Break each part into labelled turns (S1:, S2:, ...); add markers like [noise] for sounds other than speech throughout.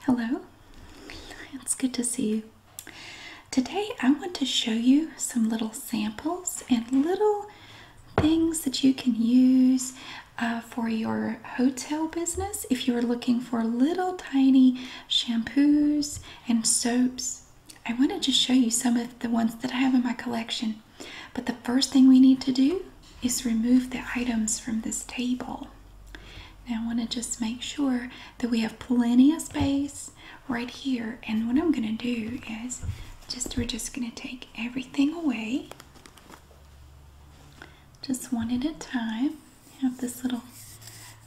S1: Hello, it's good to see you. Today I want to show you some little samples and little things that you can use uh, for your hotel business if you are looking for little tiny shampoos and soaps. I want to just show you some of the ones that I have in my collection. But the first thing we need to do is remove the items from this table. Now I want to just make sure that we have plenty of space right here. And what I'm going to do is just we're just going to take everything away. Just one at a time. Have this little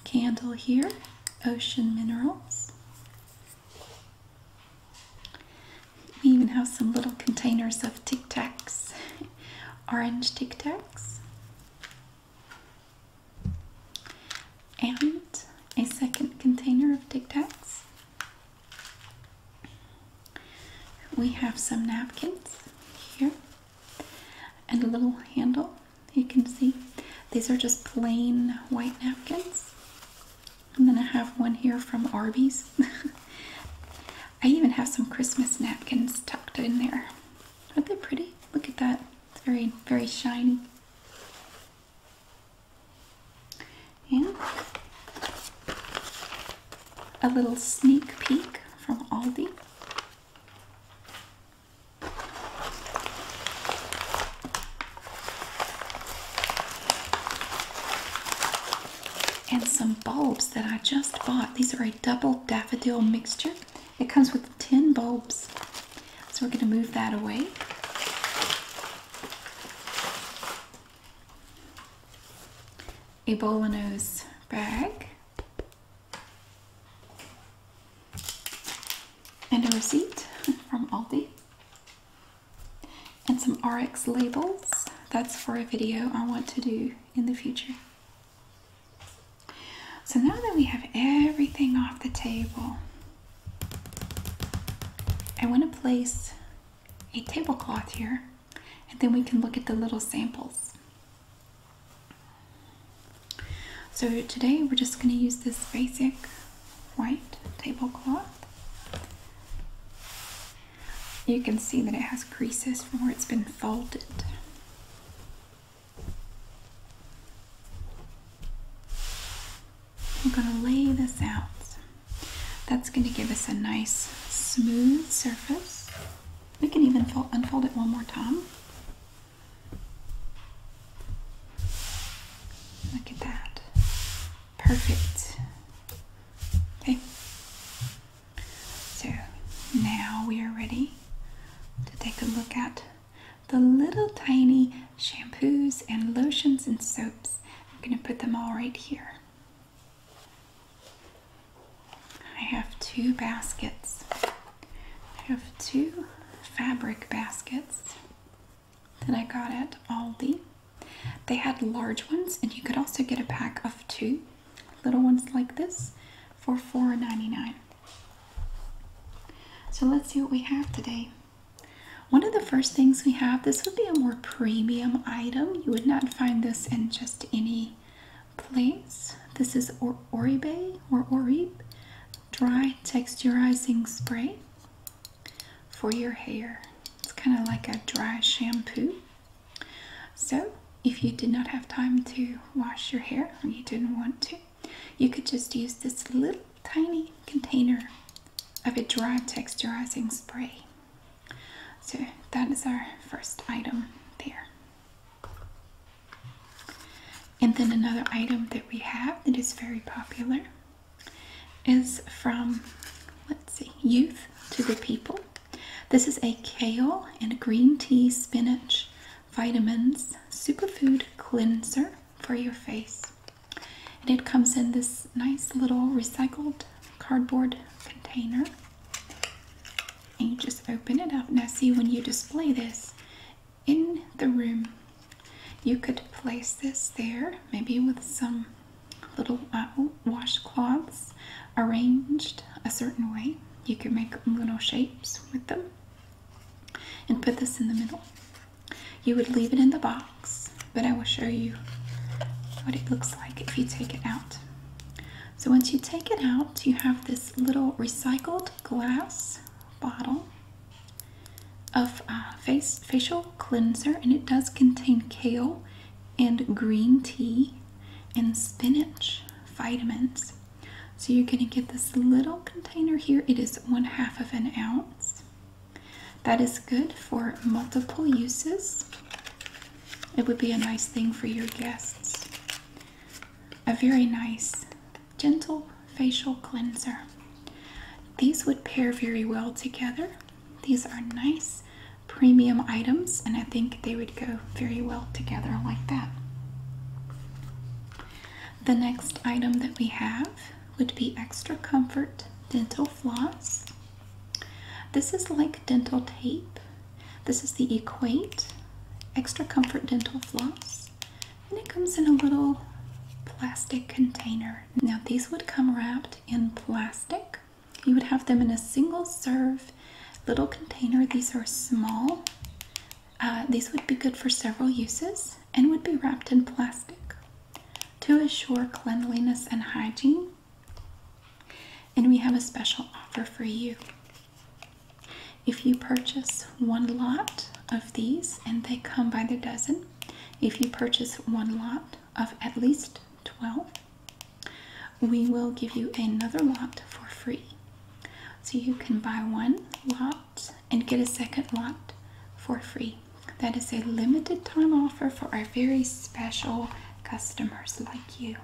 S1: candle here, Ocean Minerals. We even have some little containers of Tic Tacs, orange Tic Tacs, and a second container of Tic Tacs. We have some napkins here and a little handle you can see. These are just plain white napkins. And then I have one here from Arby's. [laughs] I even have some Christmas napkins tucked in there. Aren't they pretty? Look at that. It's very, very shiny. Yeah, a little sneak peek from Aldi and some bulbs that I just bought. These are a double daffodil mixture. It comes with 10 bulbs. So we're going to move that away. A Bolanos bag. And a receipt from Aldi. And some RX labels. That's for a video I want to do in the future. So now that we have everything off the table, I want to place a tablecloth here and then we can look at the little samples. So today we're just going to use this basic white tablecloth you can see that it has creases from where it's been folded. We're going to lay this out. That's going to give us a nice smooth surface. We can even fold, unfold it one more time. Look at that. Perfect. Okay. So now we are ready to take a look at the little tiny shampoos and lotions and soaps. I'm going to put them all right here. I have two baskets. I have two fabric baskets that I got at Aldi. They had large ones, and you could also get a pack of two little ones like this for $4.99. So let's see what we have today. One of the first things we have, this would be a more premium item. You would not find this in just any place. This is or Oribe or Orib dry texturizing spray for your hair. It's kind of like a dry shampoo. So, if you did not have time to wash your hair or you didn't want to, you could just use this little tiny container of a dry texturizing spray. So, that is our first item there. And then another item that we have that is very popular is from, let's see, youth to the people. This is a kale and green tea spinach vitamins superfood cleanser for your face. And it comes in this nice little recycled cardboard container. And you just open it up. Now see when you display this in the room, you could place this there, maybe with some little uh, washcloths arranged a certain way. You can make little shapes with them and put this in the middle. You would leave it in the box, but I will show you what it looks like if you take it out. So once you take it out, you have this little recycled glass bottle of uh, face facial cleanser, and it does contain kale and green tea and spinach vitamins. So you're going to get this little container here. It is one half of an ounce. That is good for multiple uses. It would be a nice thing for your guests. A very nice, gentle facial cleanser. These would pair very well together. These are nice premium items, and I think they would go very well together like that. The next item that we have would be Extra Comfort Dental Floss. This is like dental tape. This is the Equate Extra Comfort Dental Floss, and it comes in a little plastic container. Now, these would come wrapped in plastic. You would have them in a single serve little container. These are small. Uh, these would be good for several uses and would be wrapped in plastic to assure cleanliness and hygiene. And we have a special offer for you. If you purchase one lot of these, and they come by the dozen, if you purchase one lot of at least 12, we will give you another lot for free. So you can buy one lot and get a second lot for free. That is a limited time offer for our very special customers like you.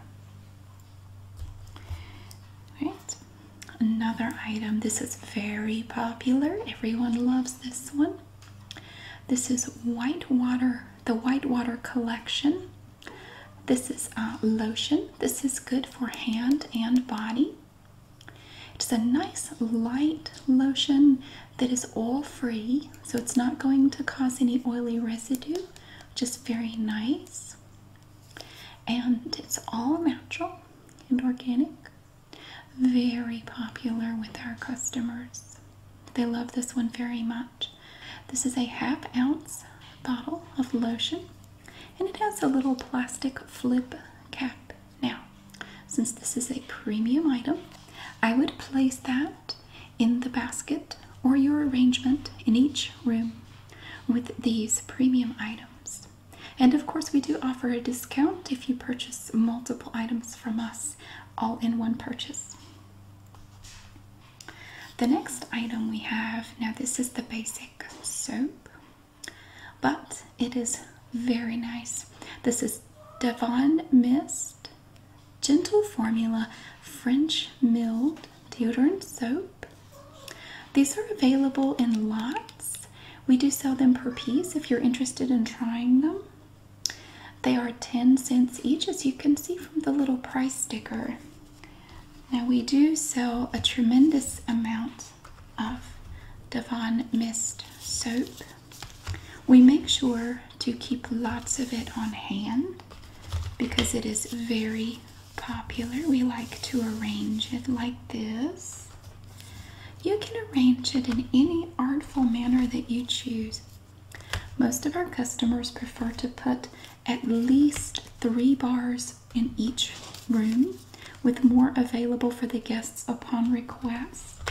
S1: All right. Another item. This is very popular. Everyone loves this one. This is white water the Whitewater Collection. This is a uh, lotion. This is good for hand and body. It's a nice light lotion that is oil free, so it's not going to cause any oily residue, Just very nice. And it's all natural and organic. Very popular with our customers. They love this one very much. This is a half ounce bottle of lotion and it has a little plastic flip cap. Now, since this is a premium item, I would place that in the basket or your arrangement in each room with these premium items. And of course, we do offer a discount if you purchase multiple items from us all in one purchase. The next item we have now, this is the basic soap, but it is very nice. This is Devon Mist Gentle Formula French Milled Deodorant Soap. These are available in lots. We do sell them per piece if you're interested in trying them. They are 10 cents each, as you can see from the little price sticker. Now, we do sell a tremendous amount of Devon Mist soap. We make sure to keep lots of it on hand because it is very popular. We like to arrange it like this. You can arrange it in any artful manner that you choose. Most of our customers prefer to put at least three bars in each room, with more available for the guests upon request.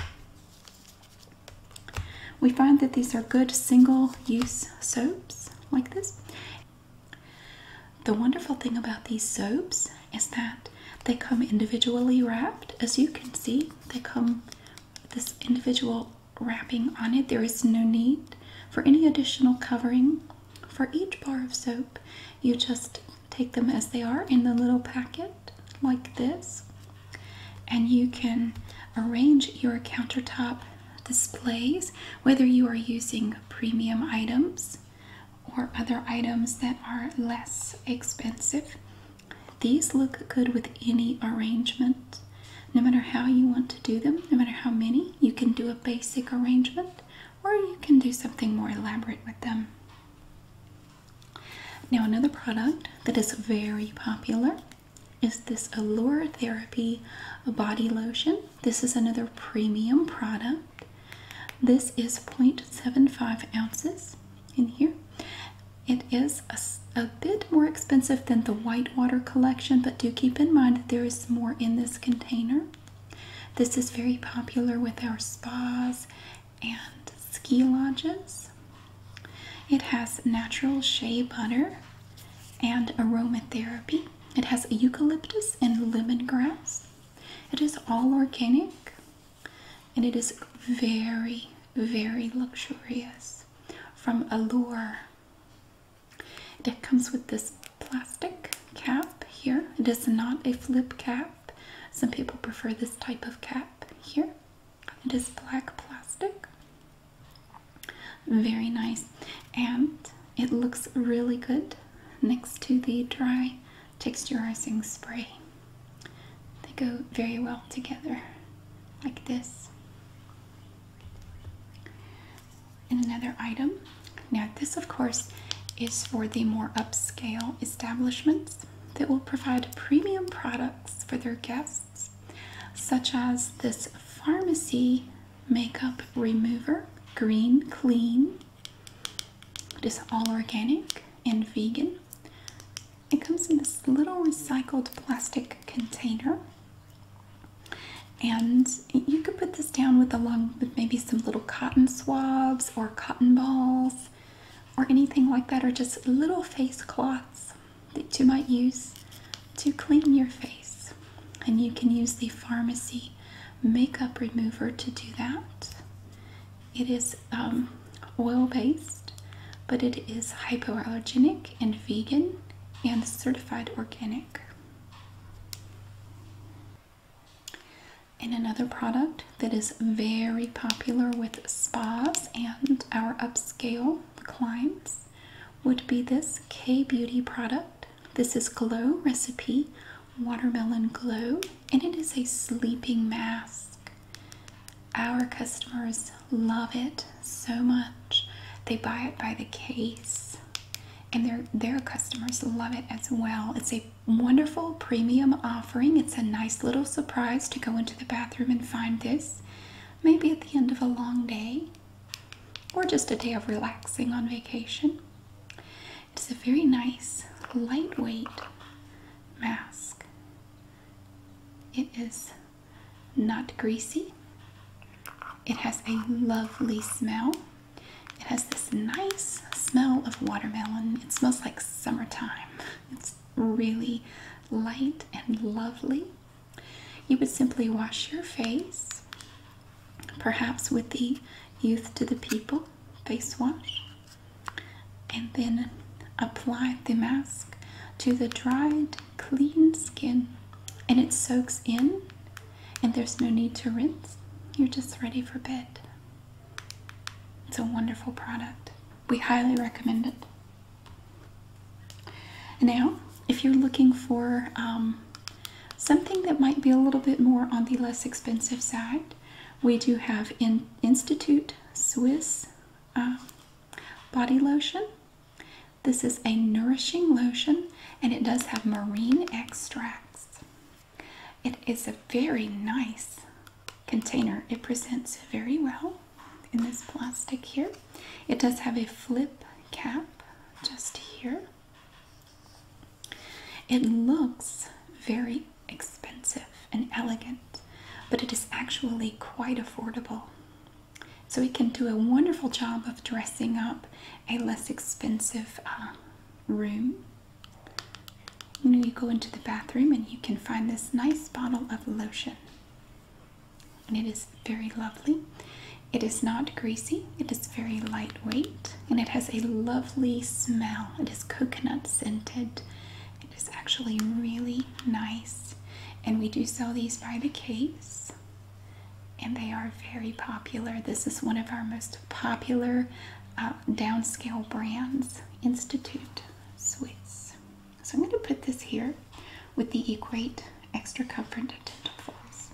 S1: We find that these are good single use soaps like this. The wonderful thing about these soaps is that they come individually wrapped. As you can see, they come this individual wrapping on it. There is no need for any additional covering. For each bar of soap, you just take them as they are in the little packet, like this, and you can arrange your countertop displays whether you are using premium items or other items that are less expensive. These look good with any arrangement. No matter how you want to do them, no matter how many, you can do a basic arrangement or you can do something more elaborate with them. Now, another product that is very popular is this Allure Therapy Body Lotion. This is another premium product. This is 0.75 ounces in here it is a, bit more expensive than the Whitewater collection, but do keep in mind that there is more in this container. This is very popular with our spas and ski lodges. It has natural shea butter and aromatherapy. It has eucalyptus and lemongrass. It is all organic and it is very, very luxurious from Allure. It comes with this plastic cap here. It is not a flip cap. Some people prefer this type of cap here. It is black plastic. Very nice. And it looks really good next to the dry texturizing spray. They go very well together like this. And another item. Now, this, of course, is for the more upscale establishments that will provide premium products for their guests, such as this pharmacy makeup remover, Green Clean. It is all organic and vegan it comes in this little recycled plastic container. And you could put this down with along with maybe some little cotton swabs or cotton balls or anything like that, or just little face cloths that you might use to clean your face. And you can use the pharmacy makeup remover to do that. It is um, oil based, but it is hypoallergenic and vegan and certified organic. And another product that is very popular with spas and our upscale clients would be this K Beauty product. This is Glow Recipe Watermelon Glow, and it is a sleeping mask. Our customers love it so much. They buy it by the case, and their their customers love it as well. It's a wonderful premium offering. It's a nice little surprise to go into the bathroom and find this. Maybe at the end of a long day or just a day of relaxing on vacation. It's a very nice, lightweight mask. It is not greasy. It has a lovely smell. It has this nice smell of watermelon. It smells like summertime. It's really light and lovely. You would simply wash your face, perhaps with the Youth to the People face wash, and then apply the mask to the dried clean skin and it soaks in and there's no need to rinse. You're just ready for bed. It's a wonderful product. We highly recommend it. Now, if you're looking for um, something that might be a little bit more on the less expensive side, we do have in Institute Swiss uh, body lotion. This is a nourishing lotion and it does have marine extracts. It is a very nice container. It presents very well in this plastic here. It does have a flip cap just here. It looks very expensive and elegant, but it is actually quite affordable. So it can do a wonderful job of dressing up a less expensive um, room. You know, you go into the bathroom and you can find this nice bottle of lotion. And it is very lovely. It is not greasy, it is very lightweight, and it has a lovely smell. It is coconut scented it is actually really nice, and we do sell these by the case, and they are very popular. This is one of our most popular uh, downscale brands, Institute Swiss. So I'm going to put this here with the Equate Extra Comfort Dental Floss.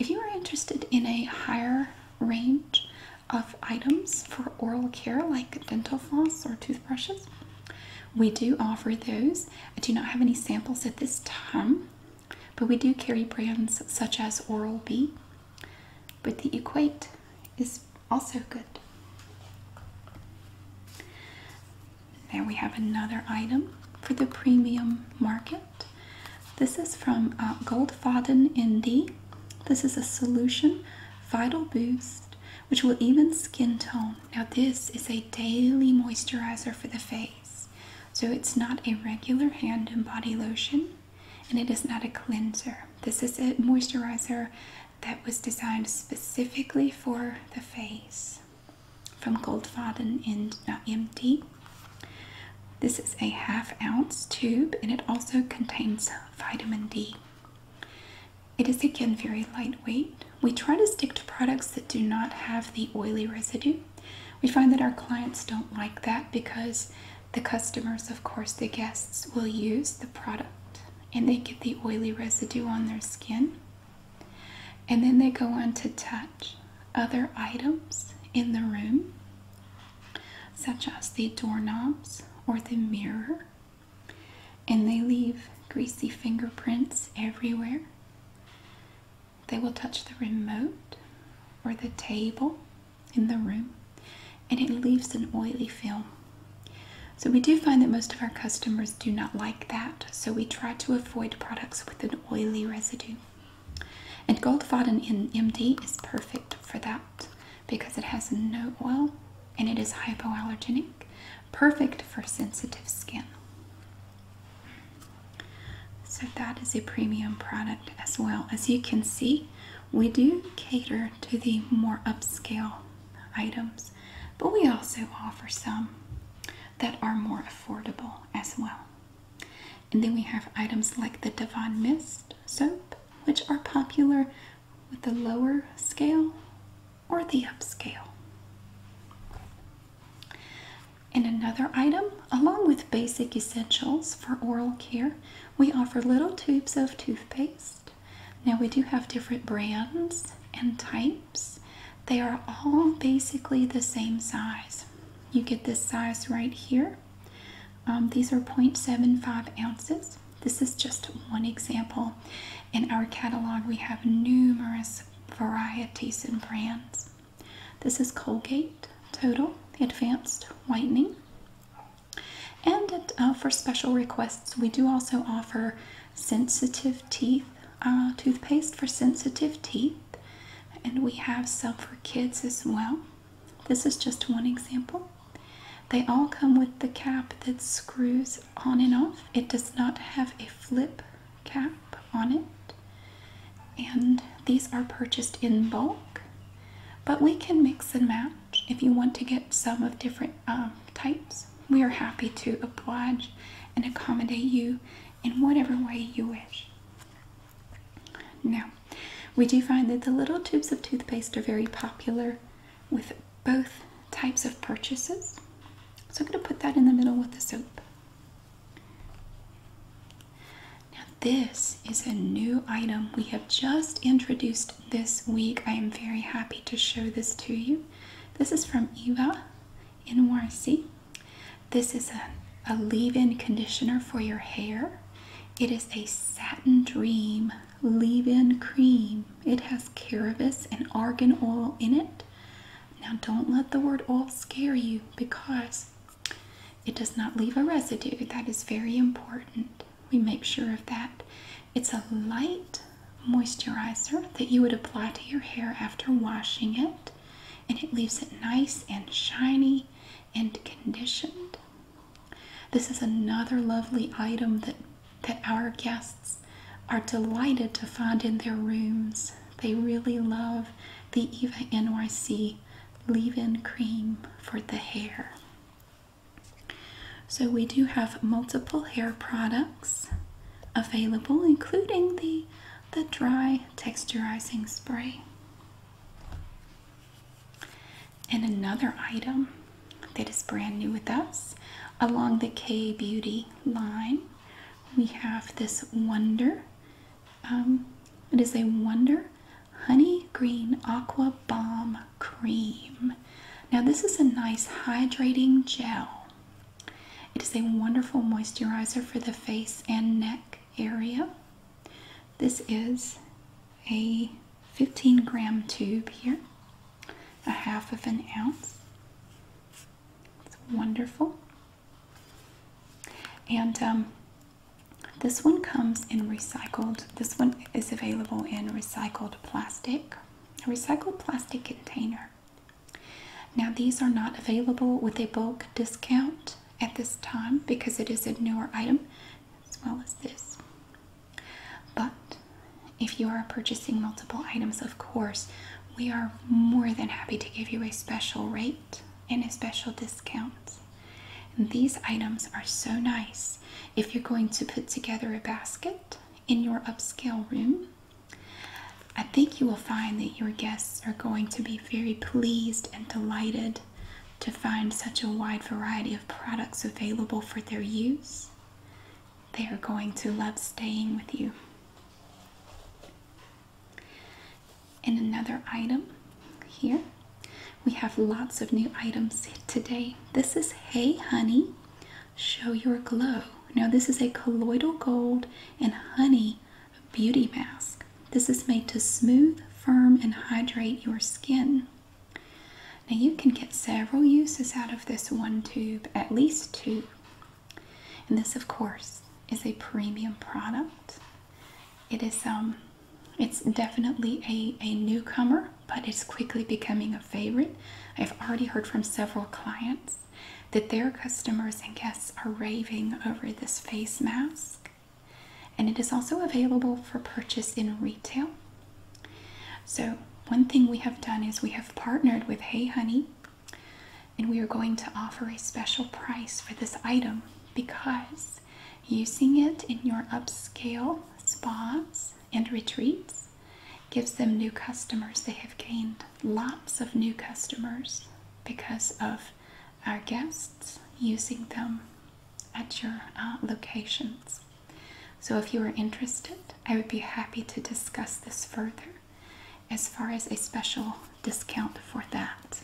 S1: If you are interested in a higher range of items for oral care like dental floss or toothbrushes, we do offer those. I do not have any samples at this time, but we do carry brands such as Oral B. But the Equate is also good. Now we have another item for the premium market. This is from uh, Goldfaden ND. This is a solution vital boost which will even skin tone. Now, this is a daily moisturizer for the face, so it's not a regular hand and body lotion and it is not a cleanser. This is a moisturizer that was designed specifically for the face from Goldfaden in uh, MD. This is a half ounce tube and it also contains vitamin D. It is again very lightweight. We try to stick to products that do not have the oily residue. We find that our clients don't like that because the customers, of course, the guests, will use the product and they get the oily residue on their skin. And then they go on to touch other items in the room, such as the doorknobs or the mirror and they leave greasy fingerprints everywhere. They will touch the remote or the table in the room, and it leaves an oily film. So, we do find that most of our customers do not like that, so we try to avoid products with an oily residue. And Goldfaden MD is perfect for that because it has no oil and it is hypoallergenic, perfect for sensitive skin. So, that is a premium product as well. As you can see, we do cater to the more upscale items, but we also offer some that are more affordable as well. And then we have items like the Devon Mist soap, which are popular with the lower scale or the upscale. And another item, along with basic essentials for oral care, we offer little tubes of toothpaste. Now, we do have different brands and types, they are all basically the same size. You get this size right here. Um, these are 0.75 ounces. This is just one example. In our catalog, we have numerous varieties and brands. This is Colgate Total Advanced Whitening. And uh, for special requests, we do also offer sensitive teeth uh, toothpaste for sensitive teeth, and we have some for kids as well. This is just one example. They all come with the cap that screws on and off. It does not have a flip cap on it. And these are purchased in bulk, but we can mix and match. If you want to get some of different um, types, we are happy to oblige and accommodate you in whatever way you wish. Now, we do find that the little tubes of toothpaste are very popular with both types of purchases. So I'm going to put that in the middle with the soap. Now, this is a new item we have just introduced this week. I am very happy to show this to you. This is from Eva in Warsi. This is a, a leave in conditioner for your hair. It is a satin dream leave-in cream. It has cannabis and argan oil in it. Now don't let the word oil scare you because it does not leave a residue. That is very important. We make sure of that. It's a light moisturizer that you would apply to your hair after washing it, and it leaves it nice and shiny and conditioned. This is another lovely item that that our guests are delighted to find in their rooms. They really love the Eva NYC leave in cream for the hair. So, we do have multiple hair products available, including the, the dry texturizing spray. And another item that is brand new with us. Along the K Beauty line, we have this Wonder. Um, it is a Wonder Honey Green Aqua Balm Cream. Now, this is a nice hydrating gel. It is a wonderful moisturizer for the face and neck area. This is a 15 gram tube here a half of an ounce. It's wonderful. And um, this one comes in recycled, this one is available in recycled plastic, a recycled plastic container. Now, these are not available with a bulk discount at this time because it is a newer item, as well as this. But if you are purchasing multiple items, of course, we are more than happy to give you a special rate and a special discount. And these items are so nice if you're going to put together a basket in your upscale room. I think you will find that your guests are going to be very pleased and delighted to find such a wide variety of products available for their use they are going to love staying with you. And another item here. We have lots of new items today. This is Hey Honey, Show Your Glow. Now, this is a colloidal gold and honey beauty mask. This is made to smooth, firm, and hydrate your skin. Now you can get several uses out of this one tube, at least two. And this of course is a premium product. It is um it's definitely a, a newcomer, but it's quickly becoming a favorite. I've already heard from several clients that their customers and guests are raving over this face mask. And it is also available for purchase in retail so, one thing we have done is we have partnered with Hey Honey, and we are going to offer a special price for this item because using it in your upscale spas and retreats gives them new customers. They have gained lots of new customers because of our guests using them at your uh, locations. So, if you are interested, I would be happy to discuss this further as far as a special discount for that.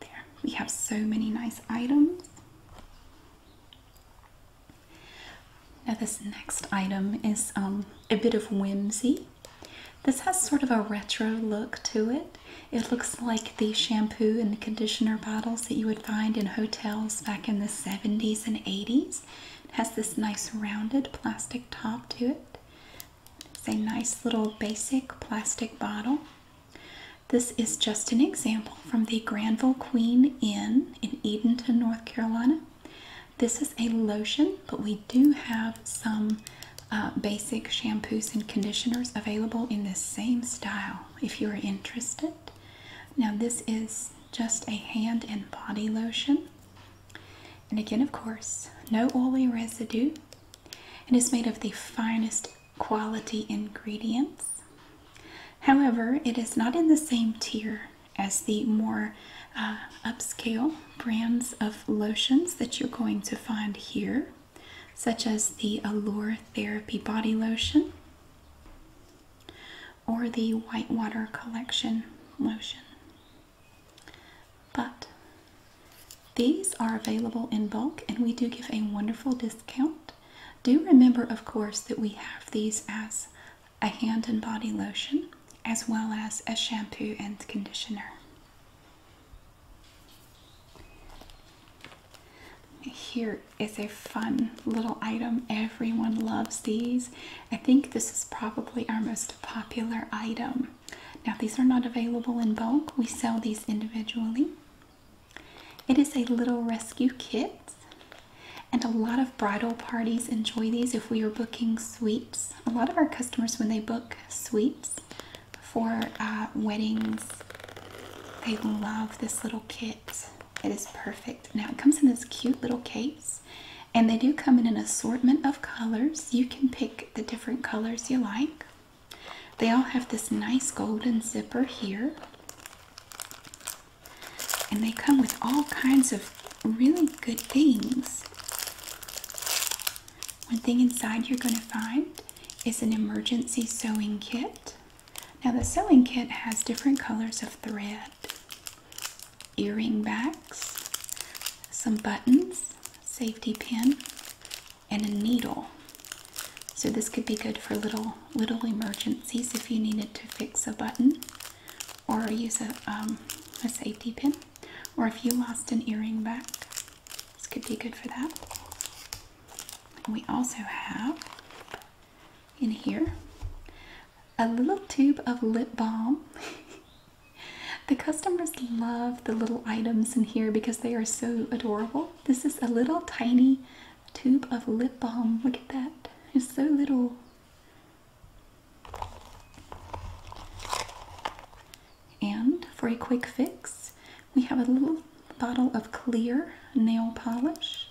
S1: There, we have so many nice items. Now, this next item is um, a bit of whimsy. This has sort of a retro look to it. It looks like the shampoo and conditioner bottles that you would find in hotels back in the 70s and 80s. It has this nice rounded plastic top to it. It's a nice little basic plastic bottle. This is just an example from the Granville Queen Inn in Edenton, North Carolina. This is a lotion, but we do have some uh, basic shampoos and conditioners available in this same style if you're interested. Now this is just a hand and body lotion. And again, of course, no oily residue. It is made of the finest quality ingredients. However, it is not in the same tier as the more uh, upscale brands of lotions that you're going to find here, such as the Allure Therapy Body Lotion or the Whitewater Collection lotion. But these are available in bulk and we do give a wonderful discount. Do remember, of course, that we have these as a hand and body lotion as well as a shampoo and conditioner. Here is a fun little item. Everyone loves these. I think this is probably our most popular item. Now, these are not available in bulk, we sell these individually. It is a little rescue kit, and a lot of bridal parties enjoy these if we are booking suites. A lot of our customers, when they book suites for uh, weddings, they love this little kit. It is perfect. Now it comes in this cute little case, and they do come in an assortment of colors. You can pick the different colors you like. They all have this nice golden zipper here. And they come with all kinds of really good things. One thing inside you're going to find is an emergency sewing kit. Now the sewing kit has different colors of thread, earring backs, some buttons, safety pin, and a needle. So this could be good for little little emergencies if you needed to fix a button or use a, um, safety pin or if you lost an earring back. This could be good for that. we also have in here, a little tube of lip balm. [laughs] the customers love the little items in here because they are so adorable. This is a little tiny tube of lip balm. Look at that. It's so little. And for a quick fix, we have a little bottle of clear nail polish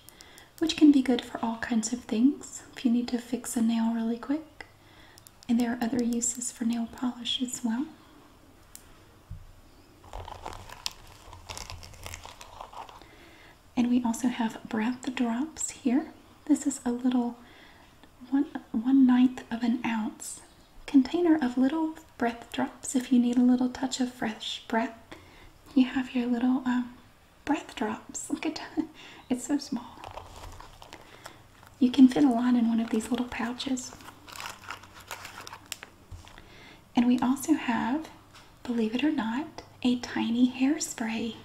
S1: which can be good for all kinds of things if you need to fix a nail really quick. And there are other uses for nail polish as well. And we also have breath drops here. This is a little one one ninth of an ounce container of little breath drops if you need a little touch of fresh breath you have your little um, breath drops. [laughs] Look at that. It's so small. You can fit a lot in one of these little pouches. And we also have, believe it or not, a tiny hairspray.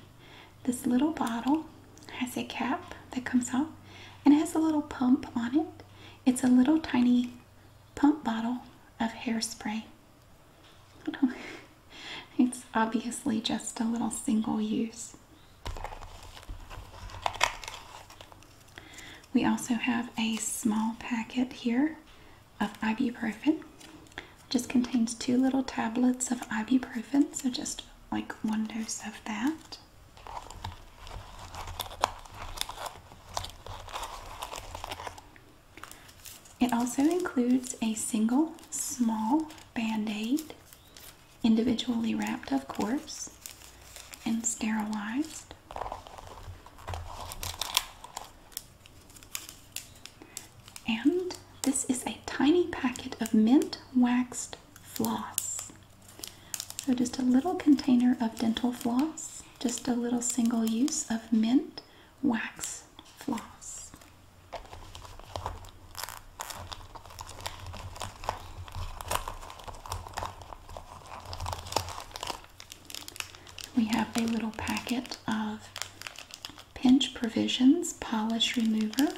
S1: This little bottle has a cap that comes off and it has a little pump on it. It's a little tiny pump bottle of hairspray. [laughs] it's obviously just a little single use. We also have a small packet here of ibuprofen. Just contains two little tablets of ibuprofen, so just like one dose of that. It also includes a single small band aid, individually wrapped, of course, and sterilized. And this is a tiny packet of mint waxed floss. So, just a little container of dental floss, just a little single use of mint wax floss. We have a little packet of Pinch Provisions Polish Remover,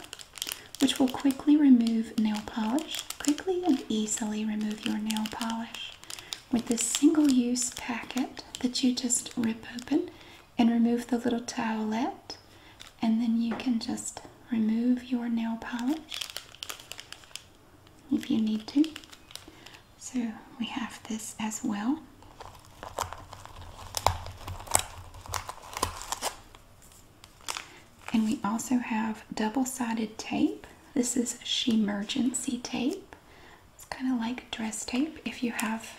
S1: which will quickly remove nail polish, quickly and easily remove your nail polish with this single-use packet that you just rip open and remove the little towelette and then you can just remove your nail polish if you need to. So we have this as well. And we also have double-sided tape. This is Shemergency tape. It's kind of like dress tape if you have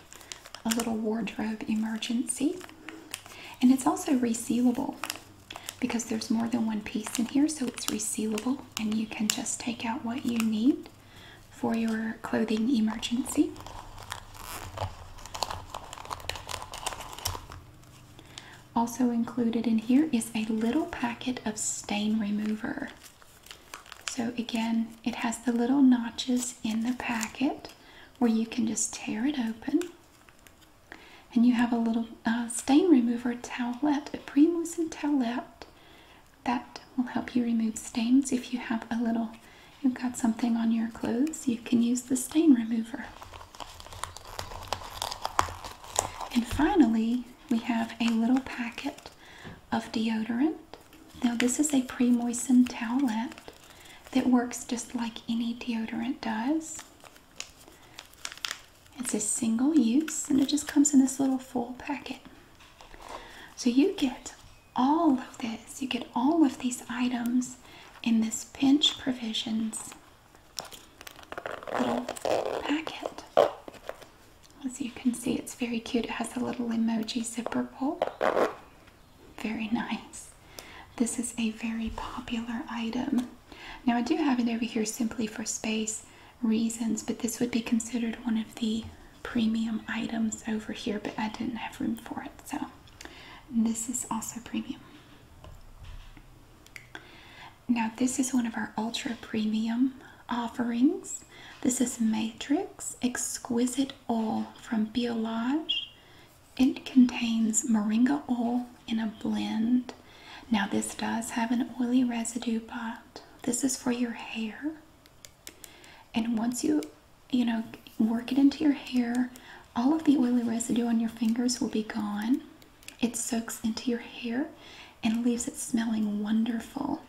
S1: a little wardrobe emergency. And it's also resealable because there's more than one piece in here, so it's resealable and you can just take out what you need for your clothing emergency. Also included in here is a little packet of stain remover. So again, it has the little notches in the packet where you can just tear it open. And you have a little uh, stain remover towelette, a pre-moistened towelette that will help you remove stains. If you have a little, you've got something on your clothes, you can use the stain remover. And finally, we have a little packet of deodorant. Now, this is a pre moistened towel that works just like any deodorant does. It's a single use and it just comes in this little full packet. So, you get all of this, you get all of these items in this pinch provisions little packet. As you can see, it's very cute. It has a little emoji zipper pull. Very nice. This is a very popular item. Now, I do have it over here simply for space reasons, but this would be considered one of the premium items over here, but I didn't have room for it, so this is also premium. Now, this is one of our ultra premium offerings. This is Matrix Exquisite Oil from Biolage. It contains moringa oil in a blend. Now, this does have an oily residue, but this is for your hair. And once you, you know, work it into your hair, all of the oily residue on your fingers will be gone. It soaks into your hair and leaves it smelling wonderful.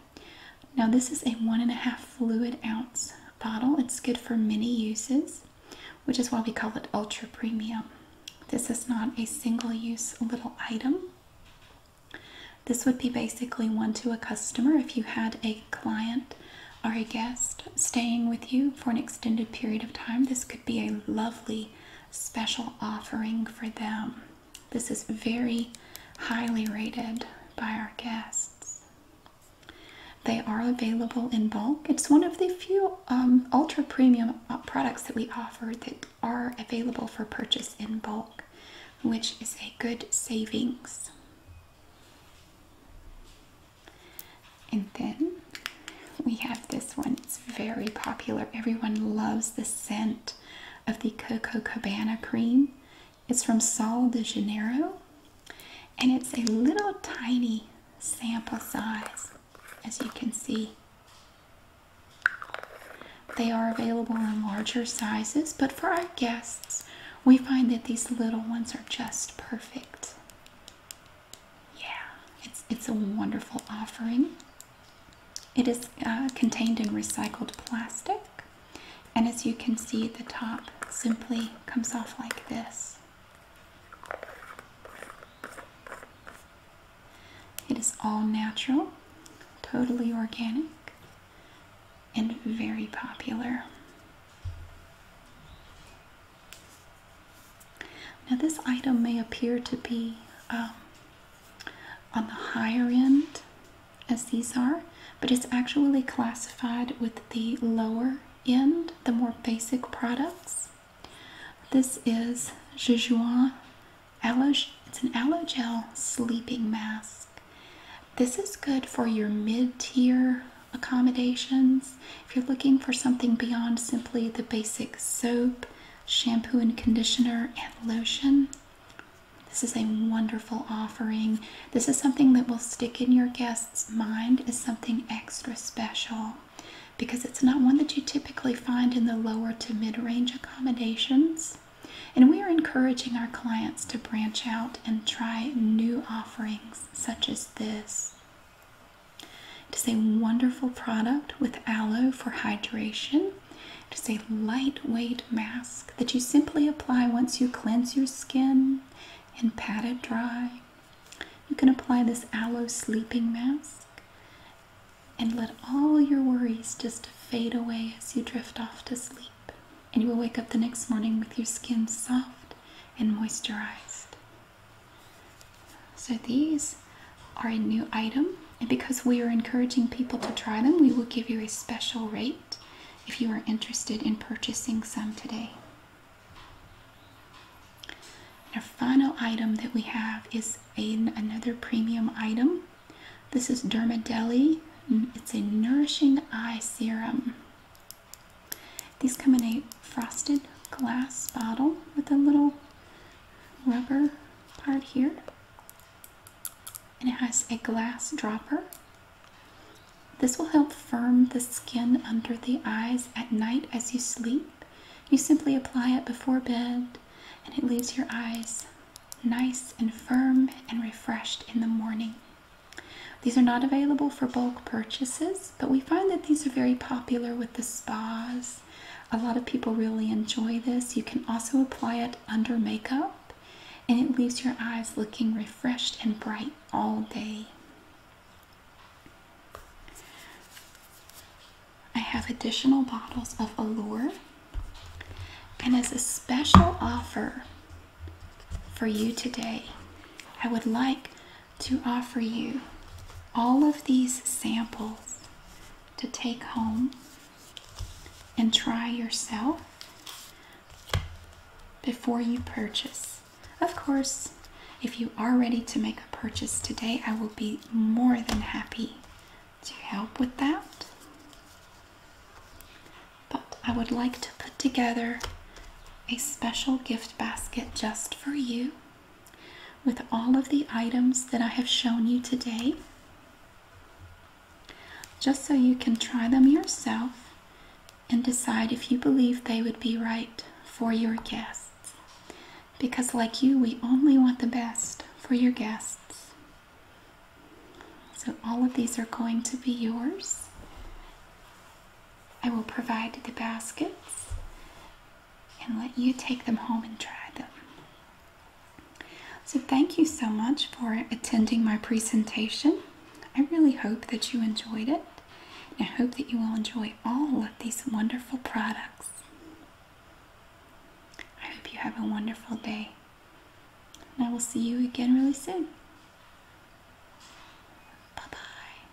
S1: Now, this is a one and a half fluid ounce bottle. It's good for many uses, which is why we call it ultra premium. This is not a single use little item. This would be basically one to a customer if you had a client or a guest staying with you for an extended period of time. This could be a lovely special offering for them. This is very highly rated by our guests. They are available in bulk. It's one of the few um, ultra premium uh, products that we offer that are available for purchase in bulk, which is a good savings. And then we have this one. It's very popular. Everyone loves the scent of the Coco Cabana cream. It's from São de Janeiro and it's a little tiny sample size as you can see. They are available in larger sizes, but for our guests, we find that these little ones are just perfect. Yeah, it's, it's a wonderful offering. It is uh, contained in recycled plastic, and as you can see, the top simply comes off like this. It is all natural, totally organic, and very popular. Now, this item may appear to be um, on the higher end as these are, but it's actually classified with the lower end, the more basic products. This is Jejuan it's an Allogel sleeping mask. This is good for your mid-tier accommodations. If you're looking for something beyond simply the basic soap, shampoo and conditioner, and lotion, this is a wonderful offering. This is something that will stick in your guest's mind as something extra special because it's not one that you typically find in the lower to mid range accommodations. And we are encouraging our clients to branch out and try new offerings such as this. It is a wonderful product with aloe for hydration. It is a lightweight mask that you simply apply once you cleanse your skin and pat it dry. You can apply this aloe sleeping mask and let all your worries just fade away as you drift off to sleep. And you will wake up the next morning with your skin soft and moisturized. So, these are a new item and because we are encouraging people to try them, we will give you a special rate if you are interested in purchasing some today. our final item that we have is another premium item. This is Dermadeli. Mm, it's a nourishing eye serum. These come in a frosted glass bottle with a little rubber part here it has a glass dropper. This will help firm the skin under the eyes at night as you sleep. You simply apply it before bed and it leaves your eyes nice and firm and refreshed in the morning. These are not available for bulk purchases, but we find that these are very popular with the spas. A lot of people really enjoy this. You can also apply it under makeup and it leaves your eyes looking refreshed and bright all day. I have additional bottles of Allure, and as a special offer for you today, I would like to offer you all of these samples to take home and try yourself before you purchase. Of course, if you are ready to make a purchase today, I will be more than happy to help with that. But I would like to put together a special gift basket just for you with all of the items that I have shown you today just so you can try them yourself and decide if you believe they would be right for your guests. Because, like you, we only want the best for your guests. So, all of these are going to be yours. I will provide the baskets and let you take them home and try them. So, thank you so much for attending my presentation. I really hope that you enjoyed it, and I hope that you will enjoy all of these wonderful products. I hope you have a wonderful day, and I will see you again really soon. Bye bye.